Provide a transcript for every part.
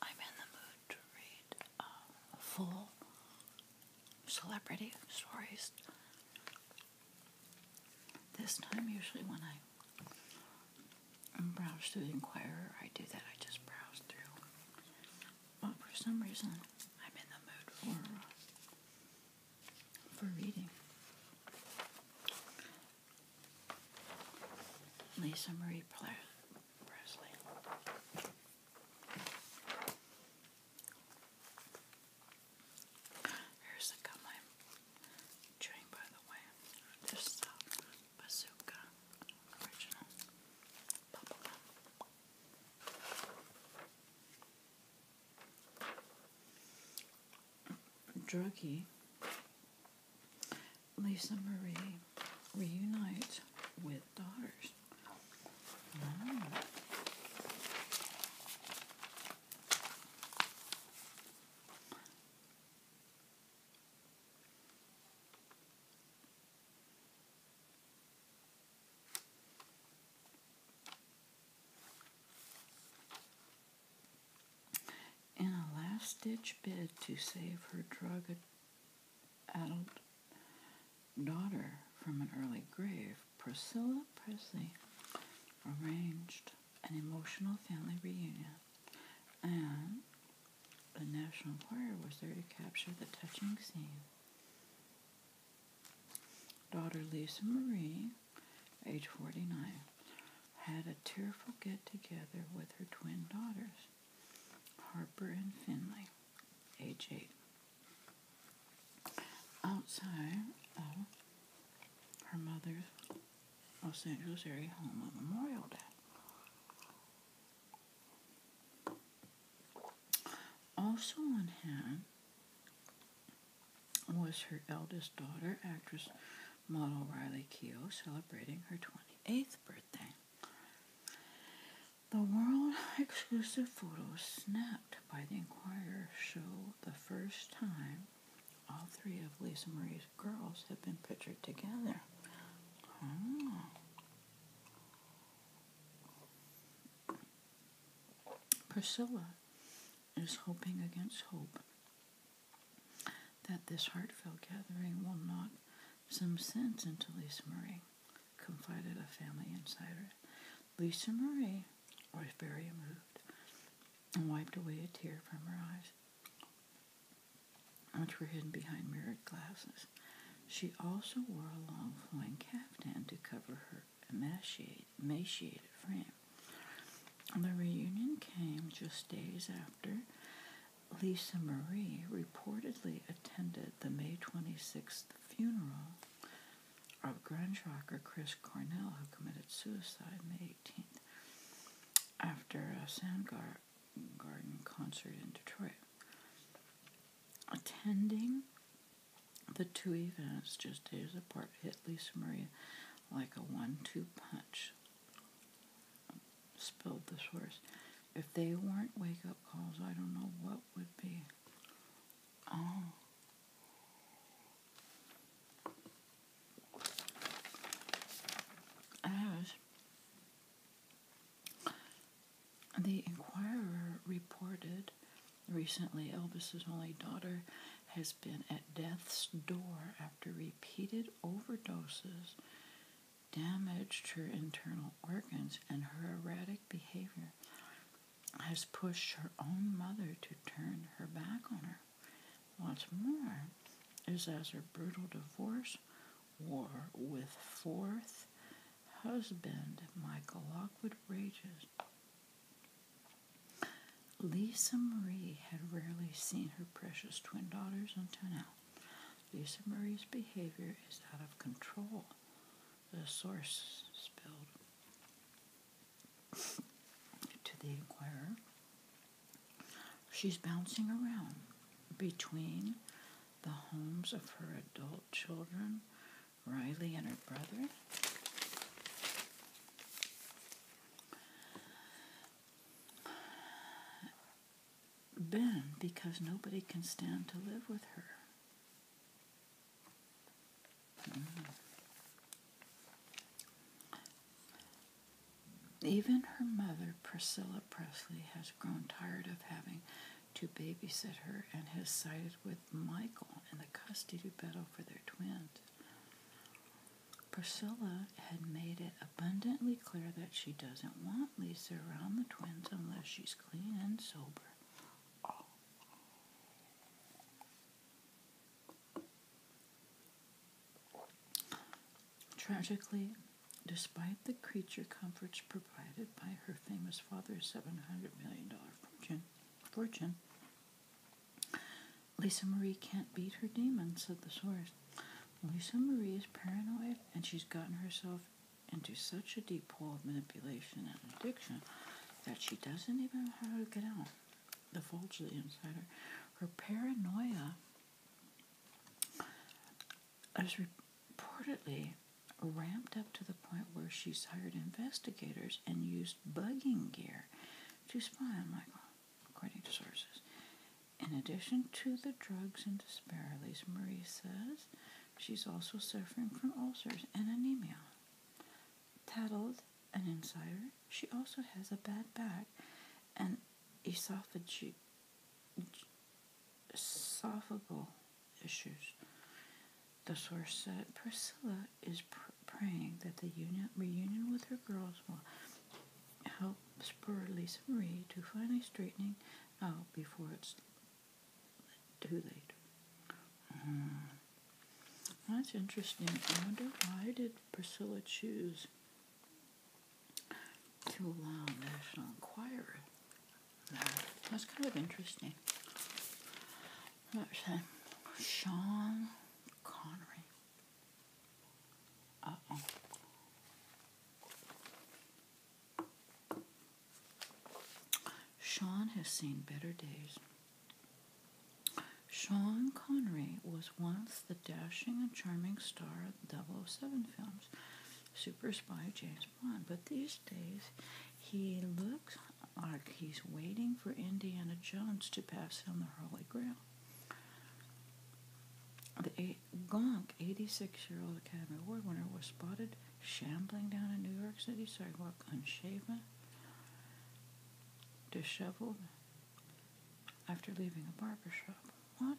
I'm in the mood to read uh, full celebrity stories. This time, usually when I browse through the Inquirer, I do that. I just browse through but for some reason, I'm in the mood for, for reading. Lisa Marie Presley. Here's the gum I'm chewing, by the way. This is uh, Bazooka original bubblegum. Druggy, Lisa Marie reunite with daughters. In a last ditch bid to save her drug addled daughter from an early grave, Priscilla Presley arranged an emotional family reunion, and the National Choir was there to capture the touching scene. Daughter Lisa Marie, age 49, had a tearful get together with her twin daughters, Harper and Finley, age 8. Outside of her mother's Los Angeles area home on Memorial Day. Also on hand was her eldest daughter, actress model Riley Keough, celebrating her 28th birthday. The world exclusive photos snapped by the Inquirer show the first time all three of Lisa Marie's girls have been pictured together. Oh. Priscilla is hoping against hope that this heartfelt gathering will knock some sense into Lisa Marie, confided a family insider. Lisa Marie was very moved and wiped away a tear from her eyes, which were hidden behind mirrored glasses. She also wore a long flowing caftan to cover her emaciated, frame. The reunion came just days after Lisa Marie reportedly attended the May 26th funeral of grunge rocker Chris Cornell, who committed suicide May 18th after a Garden concert in Detroit. Attending the two events just days apart hit Lisa Maria like a one two punch, spilled the source. If they weren't wake up calls, I don't know what would be. Oh. I was the Inquirer reported recently Elvis's only daughter has been at death's door after repeated overdoses damaged her internal organs and her erratic behavior has pushed her own mother to turn her back on her. What's more is as her brutal divorce war with fourth husband Michael Lockwood Rages. Lisa Marie had rarely seen her precious twin daughters until now. Lisa Marie's behavior is out of control, the source spilled to the Inquirer. She's bouncing around between the homes of her adult children, Riley and her brother. Ben, because nobody can stand to live with her. Hmm. Even her mother, Priscilla Presley, has grown tired of having to babysit her and has sided with Michael in the custody battle for their twins. Priscilla had made it abundantly clear that she doesn't want Lisa around the twins unless she's clean and sober. Tragically, Despite the creature comforts provided by her famous father's $700 million fortune, fortune, Lisa Marie can't beat her demons. said the source. Lisa Marie is paranoid and she's gotten herself into such a deep pool of manipulation and addiction that she doesn't even know how to get out. The vulture inside her. Her paranoia I was reportedly ramped up to the point where she's hired investigators and used bugging gear to spy on Michael, according to sources. In addition to the drugs and disparities, Marie says she's also suffering from ulcers and anemia. Tattled an insider, she also has a bad back and esophageal solvable issues. The source said uh, Priscilla is praying that the union, reunion with her girls will help spur Lisa Marie to finally straightening out before it's too late. Hmm. That's interesting. I wonder why did Priscilla choose to allow National Enquirer that's kind of interesting. Sean Connery. Uh oh. Sean has seen better days. Sean Connery was once the dashing and charming star of the 007 films, Super Spy James but these days, he looks like he's waiting for Indiana Jones to pass him the Holy Grail. The eight, Gonk, 86 year old Academy Award winner, was spotted shambling down in New York City sidewalk unshaven, disheveled, after leaving a barber shop. What?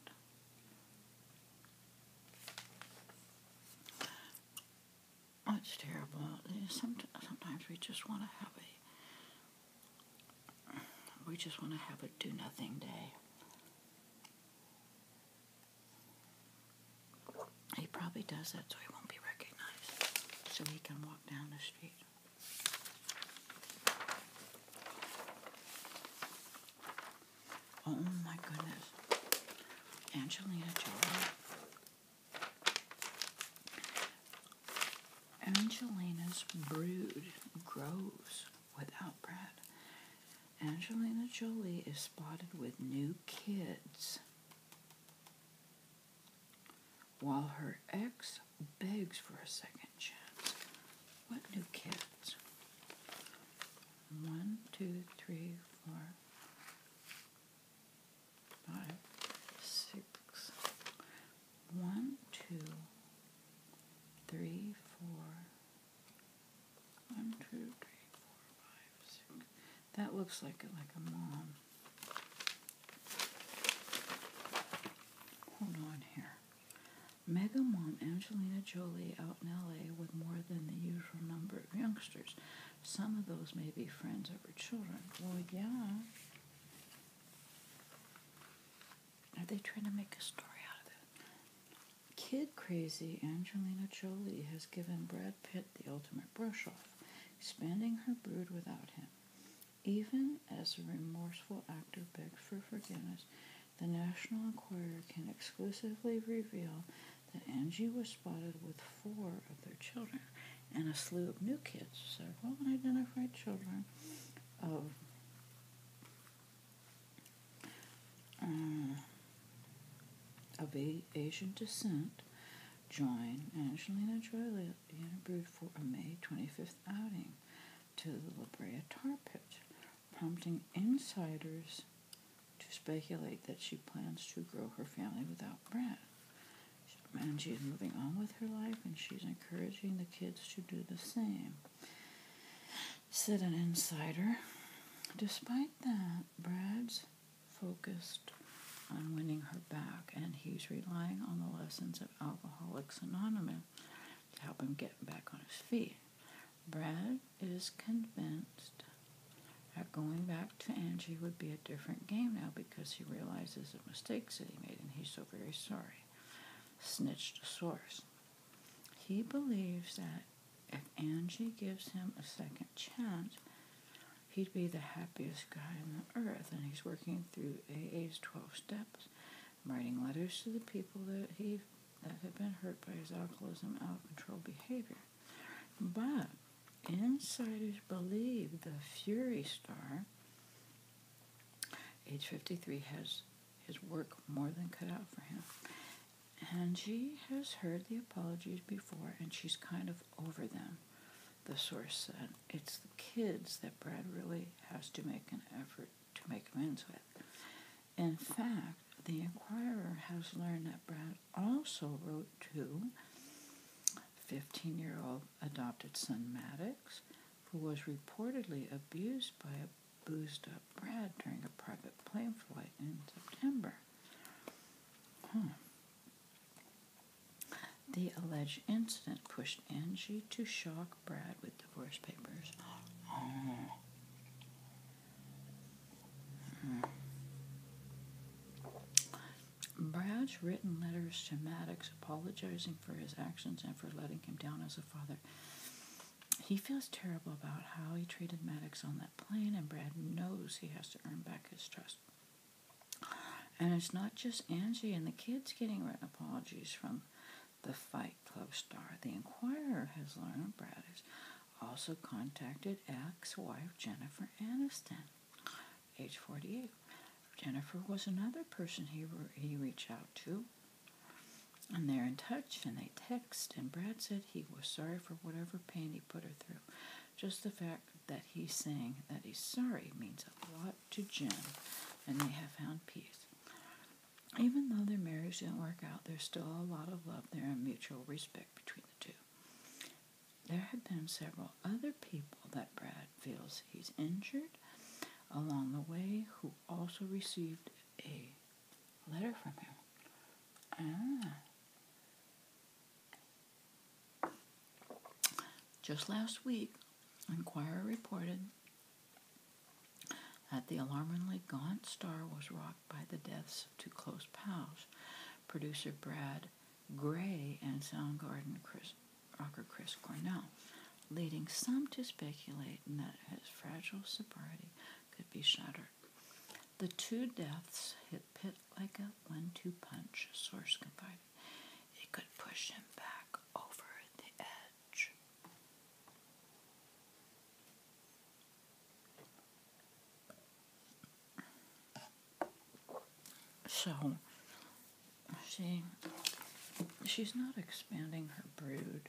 it's terrible. Sometimes we just want to have a we just want to have a do nothing day. He probably does that so he won't be recognized, so he can walk down the street. Oh my goodness. Angelina Jolie. Angelina's brood grows without Brad. Angelina Jolie is spotted with new kids while her ex begs for a second chance. What new kids? One, two, three, four, five, six. One, two, three, four. One, two, three, four, five, six. That looks like it, like a mom. Hold on here. Mega Mom Angelina Jolie out in LA with more than the usual number of youngsters. Some of those may be friends of her children. Well, yeah. Are they trying to make a story out of it? Kid crazy Angelina Jolie has given Brad Pitt the ultimate brush off, spending her brood without him. Even as the remorseful actor begs for forgiveness, the National Enquirer can exclusively reveal that Angie was spotted with four of their children and a slew of new kids, several unidentified children of. Uh, of Asian descent join Angelina Jolie in a Brood for a May 25th outing to the La Brea Tar Pit, prompting insiders to speculate that she plans to grow her family without Brad. And she's moving on with her life, and she's encouraging the kids to do the same. Said an insider. Despite that, Brad's focused on winning her back, and he's relying on the lessons of Alcoholics Anonymous to help him get back on his feet. Brad is convinced that going back to Angie would be a different game now because he realizes the mistakes that he made and he's so very sorry. Snitched source. He believes that if Angie gives him a second chance, he'd be the happiest guy on the earth. And he's working through AA's 12 steps, writing letters to the people that he that had been hurt by his alcoholism out of control behavior. But insiders believe the Fury Star, age 53, has his work more than cut out for him. And she has heard the apologies before and she's kind of over them, the source said. It's the kids that Brad really has to make an effort to make amends with. In fact, the Inquirer has learned that Brad also wrote to 15 year old adopted son Maddox, who was reportedly abused by a boost up Brad during a private plane flight in September. Hmm. The alleged incident pushed Angie to shock Brad with divorce papers. Oh. Brad's written letters to Maddox apologizing for his actions and for letting him down as a father. He feels terrible about how he treated Maddox on that plane, and Brad knows he has to earn back his trust. And it's not just Angie and the kids getting written apologies from the Fight Club star. The Inquirer has learned Brad is also contacted ex wife Jennifer Aniston, age 48. Jennifer was another person he, he reached out to, and they're in touch and they text. And Brad said he was sorry for whatever pain he put her through. Just the fact that he's saying that he's sorry means a lot to Jen, and they have found peace. Even though their marriage didn't work out, there's still a lot of love there and mutual respect between the two. There have been several other people that Brad feels he's injured along the way who also received a letter from him. Ah. Just last week, Inquirer reported that the alarmingly gaunt star was rocking by the deaths of two close pals, producer Brad Gray and Soundgarden Chris, rocker Chris Cornell, leading some to speculate that his fragile sobriety could be shattered. The two deaths hit Pitt like a one two punch, a source confided. It could push him back over the edge. So she she's not expanding her brood.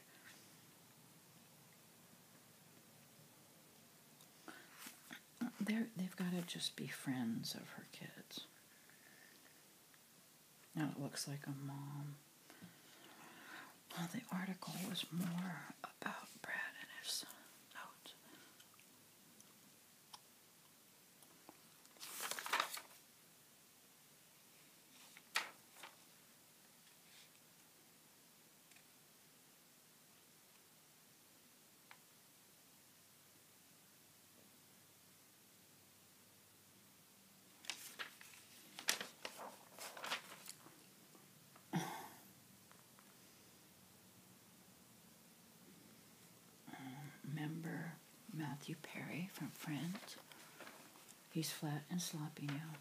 they they've got to just be friends of her kids. Now it looks like a mom the article was more about Brad and his notes member Matthew Perry from Friends. He's flat and sloppy now.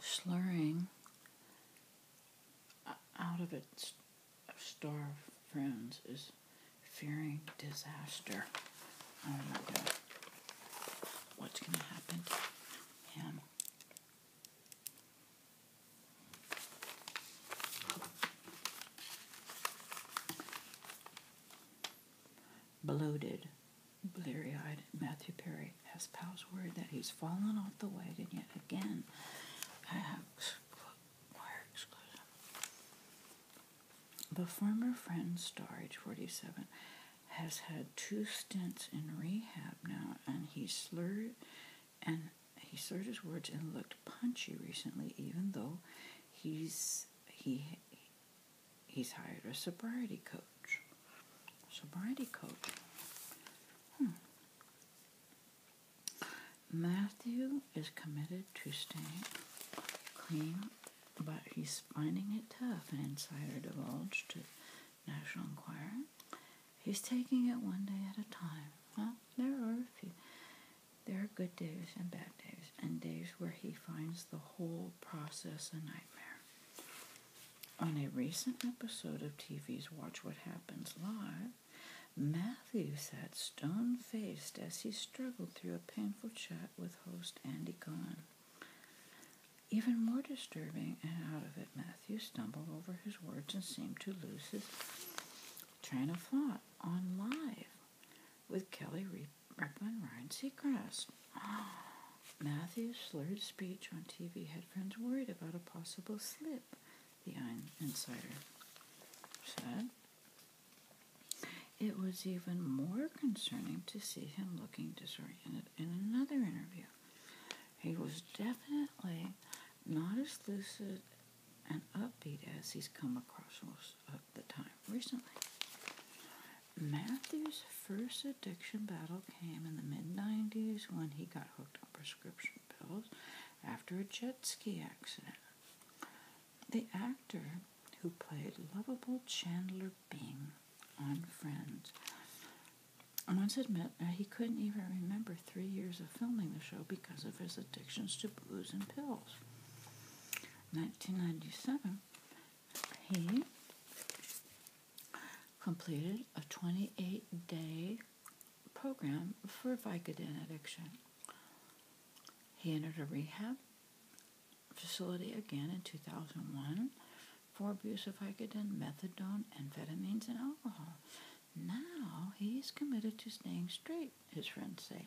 Slurring out of its star friends is fearing disaster. Oh my god what's going to happen to him. Bloated, bleary eyed, Matthew Perry has pals worried that he's fallen off the wagon yet again. The former friend, star, age 47, has had two stints in rehab now, and he slurred and he slurred his words and looked punchy recently, even though he's he he's hired a sobriety coach. Sobriety coach. Hmm. Matthew is committed to staying clean but he's finding it tough, an insider divulged to National Enquirer. He's taking it one day at a time. Well, there are a few. There are good days and bad days, and days where he finds the whole process a nightmare. On a recent episode of TV's Watch What Happens Live, Matthew sat stone faced as he struggled through a painful chat with host Andy Cohen. Even more disturbing and out of it, Matthew stumbled over his words and seemed to lose his train of thought on live with Kelly Re- Rickman Ryan Seacrest. Matthew's slurred speech on TV had friends worried about a possible slip, the Insider said. It was even more concerning to see him looking disoriented in another interview. He was definitely not as lucid and upbeat as he's come across most of the time recently. Matthew's first addiction battle came in the mid 90s when he got hooked on prescription pills after a jet ski accident. The actor who played lovable Chandler being on Friends. I must admit, he couldn't even remember three years of filming the show because of his addictions to booze and pills. 1997, he completed a 28 day program for Vicodin addiction. He entered a rehab facility again in 2001 for abuse of Vicodin, methadone, amphetamines, and alcohol. Now he's committed to staying straight, his friends say.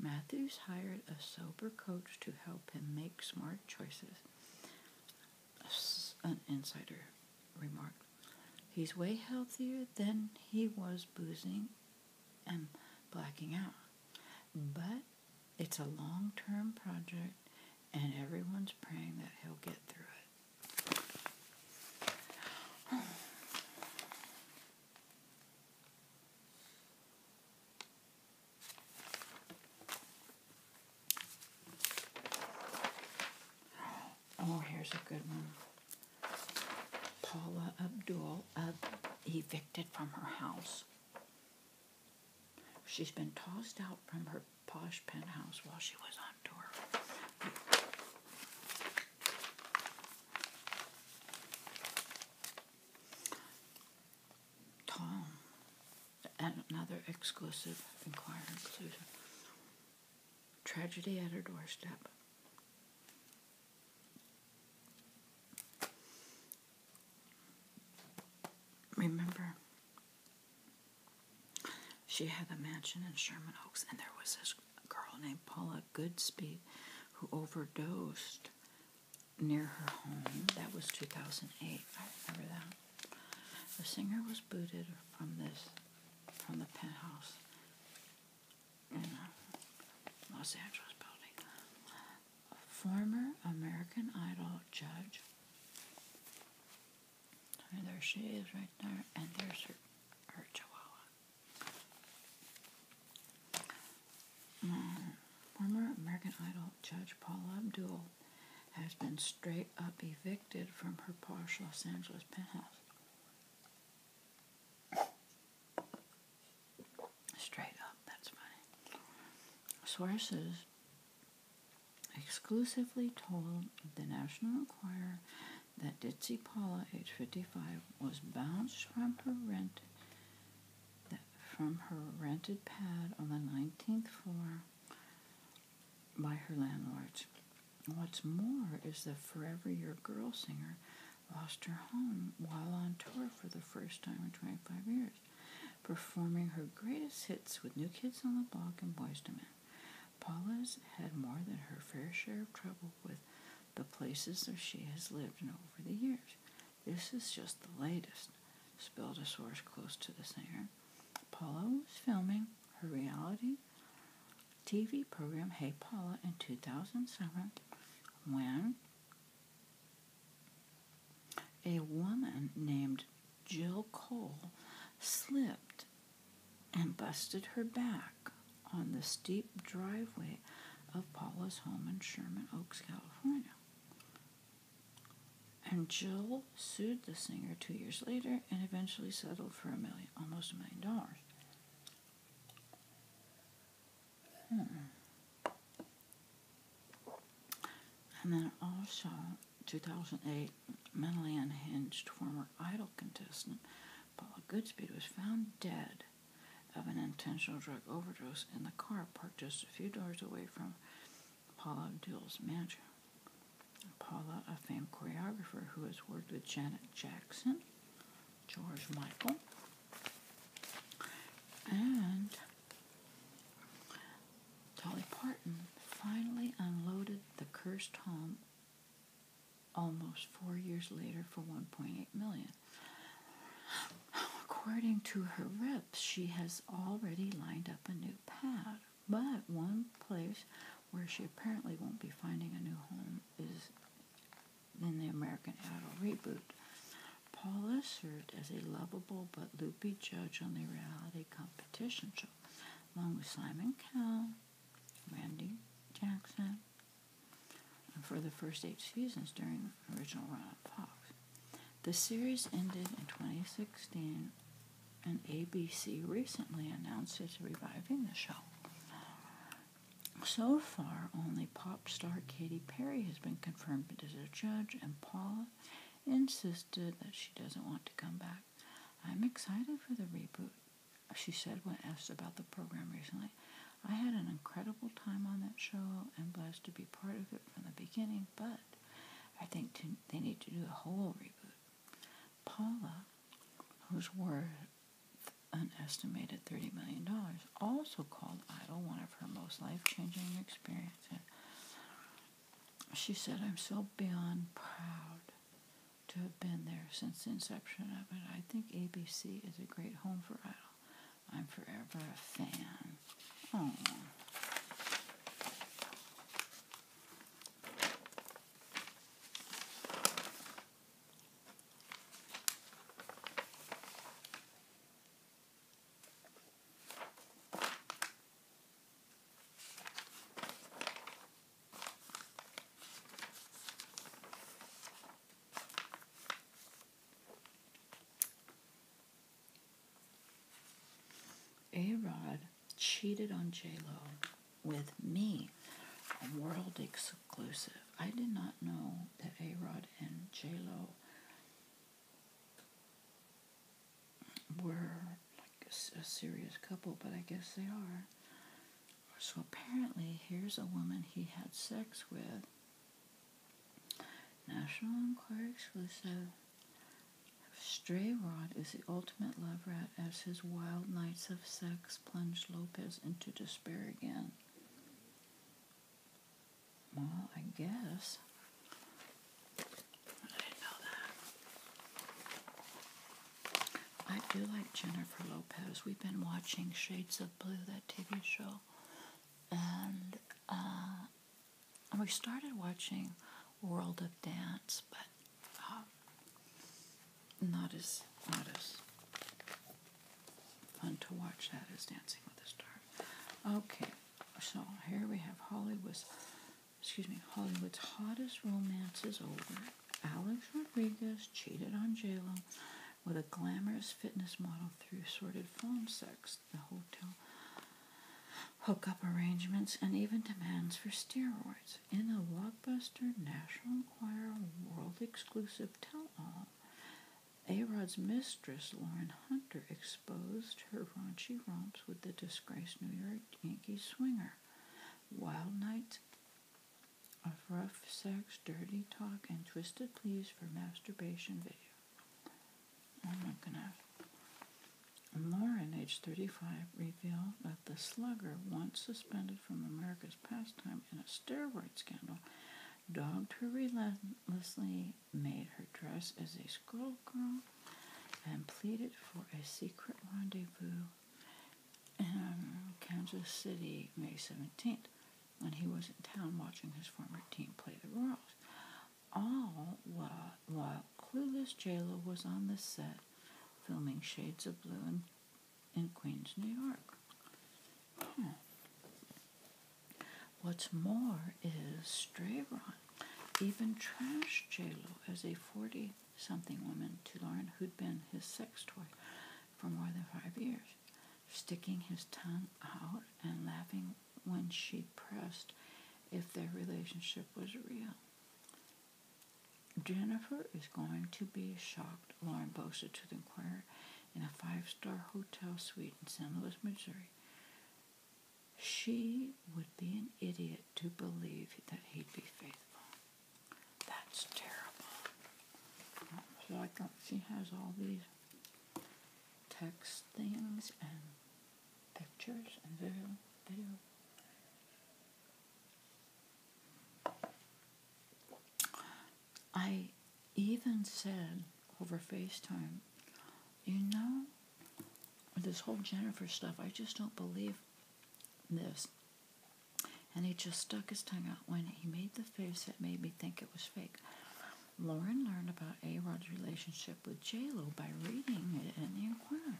Matthews hired a sober coach to help him make smart choices, an insider remarked. He's way healthier than he was boozing and blacking out. But it's a long term project, and everyone's praying that he'll get through it. Oh. here's a good one. Paula Abdul uh, evicted from her house. She's been tossed out from her posh penthouse while she was on tour. Tom, another exclusive inquiry inclusion. Tragedy at her doorstep remember she had a mansion in Sherman Oaks, and there was this girl named Paula Goodspeed who overdosed near her home. That was 2008. I remember that. The singer was booted from this, from the penthouse in uh, Los Angeles building former American Idol judge. And there she is right there, and there's her, her chihuahua. Mm. former American Idol judge Paula Abdul has been straight up evicted from her posh Los Angeles penthouse. Straight up, that's funny. Sources exclusively told the National Enquirer that Ditsy Paula, age 55, was bounced from her rent from her rented pad on the 19th floor by her landlords. What's more is the Forever Your Girl singer lost her home while on tour for the first time in 25 years performing her greatest hits with New Kids on the Block and Boys to Men. Paula's had more than her fair share of trouble with the places where she has lived in over the years. This is just the latest, spilled a source close to the singer. Paula was filming her reality TV program Hey Paula in 2007 when a woman named Jill Cole slipped and busted her back on the steep driveway of Paula's home in Sherman Oaks, California. And Jill sued the singer two years later and eventually settled for a million, almost a million dollars. Hmm. And then also, 2008, mentally unhinged former Idol contestant Paula Goodspeed was found dead of an intentional drug overdose in the car parked just a few doors away from Paula Abdul's mansion. Paula, a famed choreographer who has worked with Janet Jackson, George Michael, and Dolly Parton finally unloaded the cursed home almost four years later for 1.8 million. According to her reps, she has already lined up a new pad, but one place where she apparently won't be finding a new home is in the American Idol reboot. Paula served as a lovable but loopy judge on the reality competition show, along with Simon Cowell, Randy Jackson, for the first eight seasons during the original run of Fox. The series ended in 2016, and ABC recently announced it's reviving the show. So far, only *Pop* pop star Katy Perry has been confirmed as a judge, and Paula insisted that she doesn't want to come back. I'm excited for the reboot, she said when asked about the program recently. I had an incredible time on that show and blessed to be part of it from the beginning, but I think to, they need to do a whole reboot. Paula, who's worth an estimated $30 million, also called Idol one of her most life changing experiences she said, I'm so beyond proud to have been there since the inception of it. I think ABC is a great home for Idol. I'm forever a fan. Oh. A Rod cheated on J Lo with me, world exclusive. I did not know that A Rod and J Lo were like a, serious couple, but I guess they are. So apparently, here's a woman he had sex with. National Enquirer exclusive. Stray Rod is the ultimate love rat as his wild nights of sex plunge Lopez into despair again. Well, I guess. I do like Jennifer Lopez. We've been watching Shades of Blue, that TV show. Uh, and we started watching World of Dance, but uh, not as not as fun to watch that as Dancing with the Stars. Okay. So here we have Hollywood's, excuse me, Hollywood's hottest romance is over. Alex Rodriguez cheated on JLo with a glamorous fitness model through sordid phone sex, the hotel hookup arrangements, and even demands for steroids. In a blockbuster National Enquirer world exclusive tell all, Arod's mistress, Lauren Hunter, exposed her raunchy romps with the disgraced New York Yankee swinger. Wild nights of rough sex, dirty talk, and twisted pleas for masturbation video. Oh my goodness. Lauren, age 35, revealed that the slugger, once suspended from America's pastime in a steroid scandal, dogged her relentlessly, made her dress as a schoolgirl, and pleaded for a secret rendezvous in um, Kansas City, May 17th, when he was in town watching his former team play the Royals. All while, while clueless J-Lo was on the set filming Shades of Blue in, in Queens, New York. Hmm. What's more is Strayron even trashed j as a 40-something woman to Lauren who'd been his sex toy for more than five years, sticking his tongue out and laughing when she pressed if their relationship was real. Jennifer is going to be shocked, Lauren boasted to the Inquirer in a five-star hotel suite in St. Louis, Missouri, she would be an idiot to believe that he'd be faithful. That's terrible. So I got, she has all these text things and pictures and video. video. I even said over FaceTime, you know, this whole Jennifer stuff, I just don't believe this. And he just stuck his tongue out when he made the face that made me think it was fake. Lauren learned about A Rod's relationship with J-Lo by reading it in The Inquirer.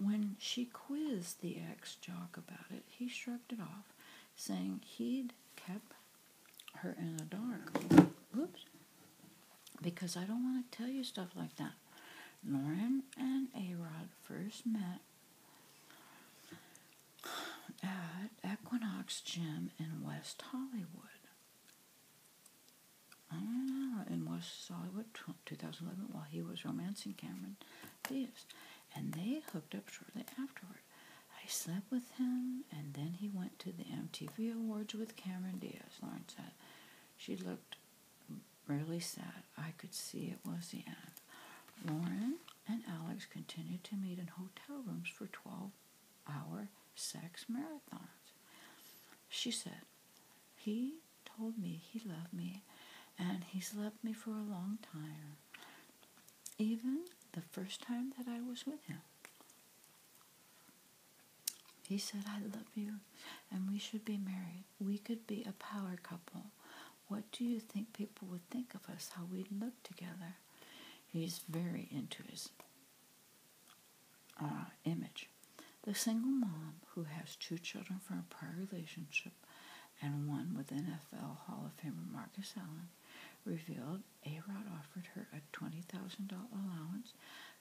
When she quizzed the ex jock about it, he shrugged it off, saying he'd kept her in the dark. Oops. Because I don't want to tell you stuff like that. Lauren and Arod first met at Equinox Gym in West Hollywood. I in West Hollywood, 2011, while he was romancing Cameron Diaz. And they hooked up shortly afterward. I slept with him, and then he went to the MTV Awards with Cameron Diaz, Lauren said. She looked really sad. I could see it was the end. Lauren and Alex continued to meet in hotel rooms for 12 hour sex marathons. She said, He told me he loved me, and he's loved me for a long time, even the first time that I was with him. He said, I love you and we should be married. We could be a power couple. What do you think people would think of us, how we'd look together? He's very into his uh, image. The single mom who has two children from a prior relationship and one with NFL Hall of Famer Marcus Allen revealed a-Rod offered her a $20,000 allowance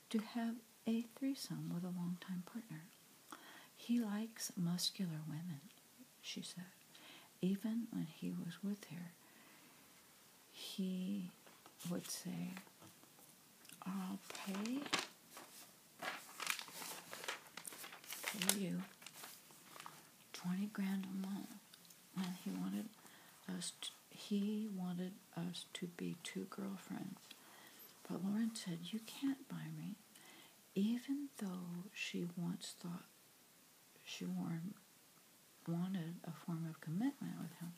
to have a threesome with a longtime partner. He likes muscular women, she said. Even when he was with her, he would say, I'll pay, pay you 20 grand a month. And he wanted us to he wanted us to be two girlfriends. But Lauren said, You can't buy me. Even though she once thought she wanted a form of commitment with him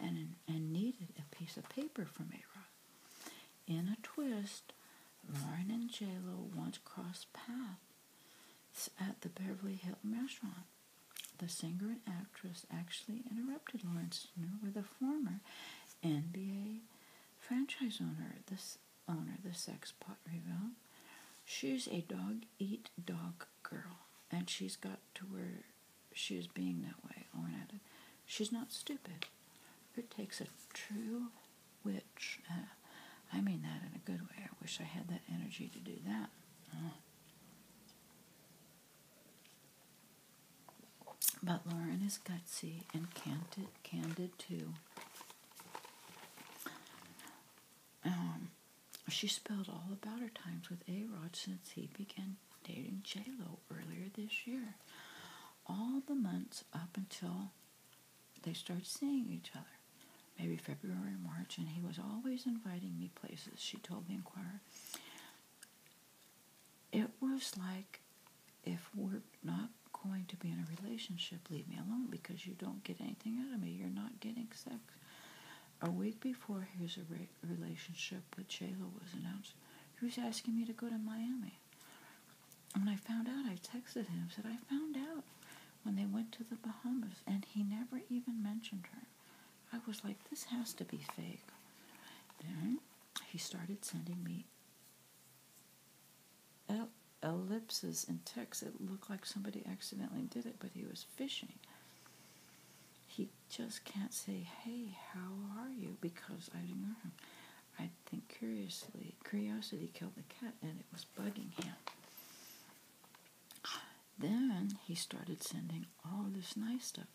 and, and needed a piece of paper from A In a twist, Lauren and JLo once crossed paths at the Beverly Hilton restaurant. The singer and actress actually interrupted Lawrence with a former NBA franchise owner. This owner, the sex pot revealed, she's a dog eat dog girl, and she's got to where she is being that way. Lauren she's not stupid. It takes a true witch. Uh, I mean that in a good way. I wish I had that energy to do that. Oh. But Lauren is gutsy and candid, candid too. Um, she spilled all about her times with A Rod since he began dating J Lo earlier this year. All the months up until they started seeing each other maybe February or March, and he was always inviting me places, she told the Inquirer. It was like if we're not going to be in a relationship, leave me alone because you don't get anything out of me. You're not getting sex. A week before his relationship with Shayla was announced, he was asking me to go to Miami. When I found out, I texted him, said, I found out when they went to the Bahamas, and he never even mentioned her. I was like, this has to be fake. Then he started sending me ellipses in texts. It looked like somebody accidentally did it, but he was fishing. He just can't say, hey, how are you? Because I ignore him. I think curiously, curiosity killed the cat, and it was bugging him. Then he started sending all this nice stuff.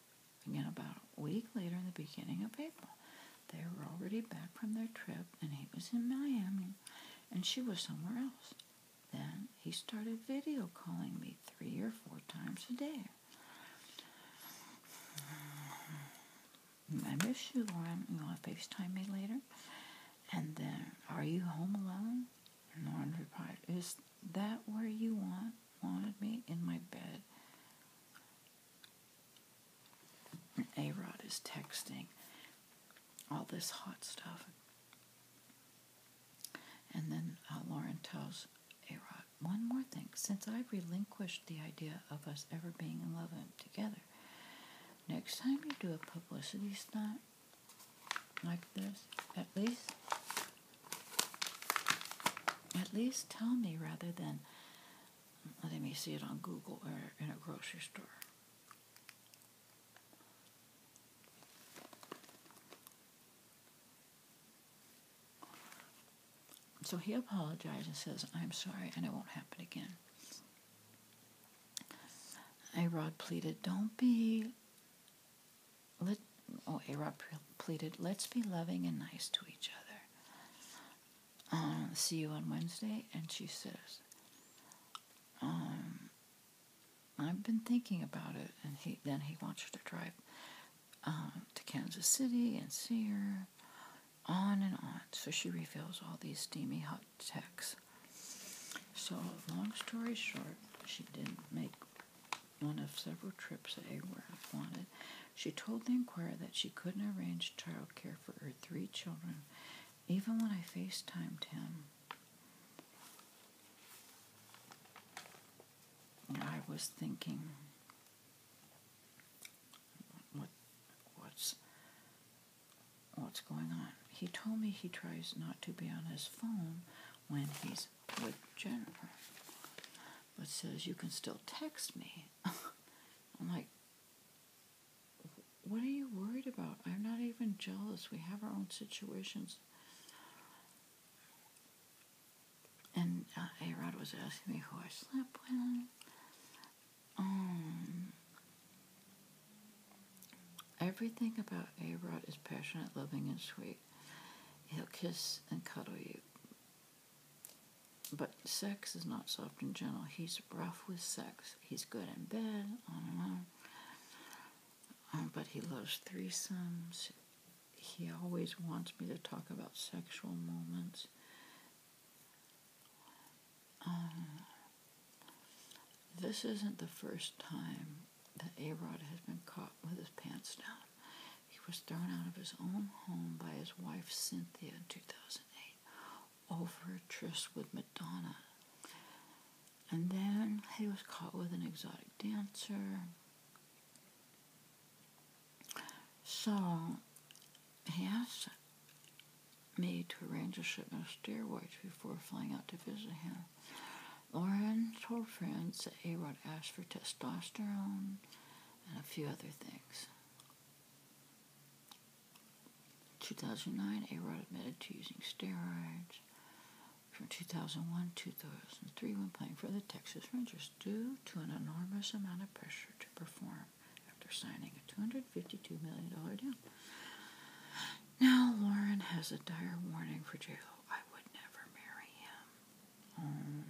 Again, about a week later, in the beginning of April, they were already back from their trip, and he was in Miami, and she was somewhere else. Then he started video calling me three or four times a day. I miss you, Lauren. You want to FaceTime me later? And then, are you home alone? And replied, Is that where you want wanted me? In my bed? And A-Rod is texting all this hot stuff. And then uh, Lauren tells A-Rod, one more thing. Since I've relinquished the idea of us ever being in love and together, next time you do a publicity stunt, like this, at least, at least tell me rather than let me see it on Google or in a grocery store. So he apologizes and says, I'm sorry and it won't happen again. A Rod pleaded, Don't be let, oh, A-Rod pleaded, let's be loving and nice to each other. Um, see you on Wednesday. And she says, um, I've been thinking about it. And he then he wants her to drive um, to Kansas City and see her, on and on. So she reveals all these steamy hot tax. So, long story short, she didn't make one of several trips that Aworth wanted. She told the inquirer that she couldn't arrange childcare for her three children, even when I FaceTimed him. I was thinking, what, what's what's going on. He told me he tries not to be on his phone when he's with Jennifer, but says you can still text me. I'm like, what are you worried about? I'm not even jealous. We have our own situations. And uh, Arod was asking me who I slept with. Um, Everything about A is passionate, loving, and sweet. He'll kiss and cuddle you. But sex is not soft and gentle. He's rough with sex. He's good in bed, on and on. Um, but he loves threesomes. He always wants me to talk about sexual moments. Um, this isn't the first time that Arod has been caught with his pants down. He was thrown out of his own home by his wife Cynthia in 2008 over a tryst with Madonna. And then he was caught with an exotic dancer. So he asked me to arrange a shipment of steroids before flying out to visit him. Lauren told friends that Arod asked for testosterone and a few other things. 2009, Arod admitted to using steroids. From 2001 to 2003, when playing for the Texas Rangers, due to an enormous amount of pressure to perform after signing a $252 million deal. Now Lauren has a dire warning for J-Lo. I would never marry him. Um.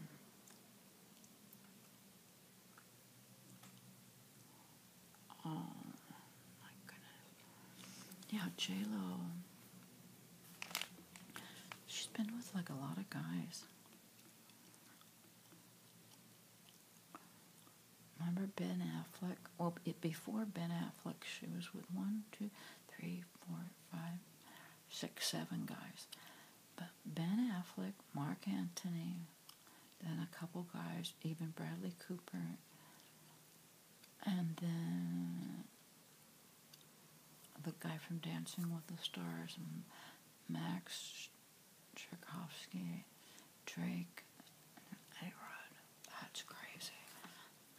oh my goodness. Yeah, J-Lo. She's been with like a lot of guys. Remember Ben Affleck? Well, before Ben Affleck, she was with one, two, three, four, five, six, seven guys. But Ben Affleck, Mark Antony, then a couple guys, even Bradley Cooper, and then the guy from Dancing with the Stars, Max Tchaikovsky, Drake, and Ed. Rod. That's crazy.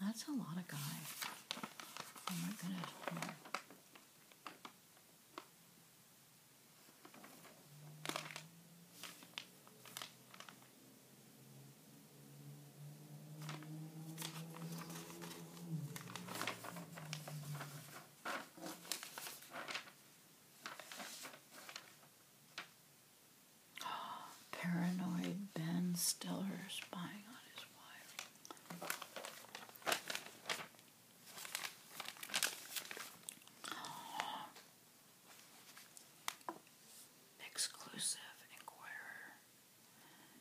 That's a lot of guys. Oh my goodness. Paranoid Ben Stiller spying on his wife. Exclusive Inquirer.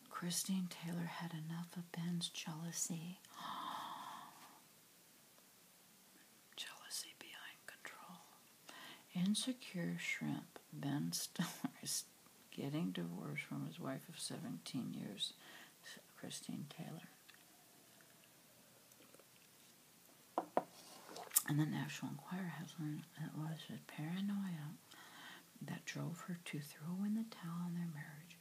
Christine Taylor had enough of Ben's jealousy. Jealousy behind control. Insecure shrimp Ben Stiller is getting divorced from his wife of 17 years, Christine Taylor. And the National Enquirer has learned that was a paranoia that drove her to throw in the towel on their marriage.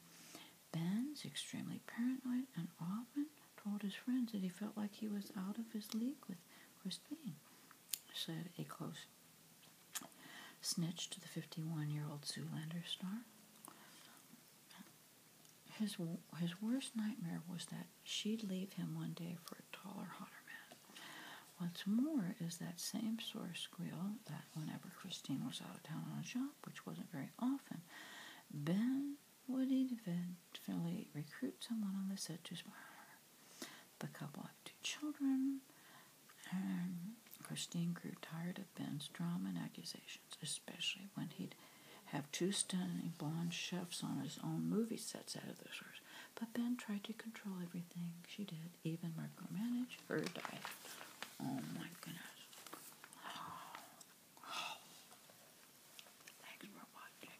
Ben's extremely paranoid and often told his friends that he felt like he was out of his league with Christine said a close snitch to the 51 year old Zoolander star. His, his worst nightmare was that she'd leave him one day for a taller, hotter man. What's more is that same source squeal that whenever Christine was out of town on a job, which wasn't very often, Ben would eventually recruit someone on the set to spy her. The couple have two children. Um, Christine grew tired of Ben's drama and accusations, especially when he'd have two stunning blonde chefs on his own movie sets out of the source. But Ben tried to control everything she did, even micromanage her diet. Oh my goodness. Thanks for watching.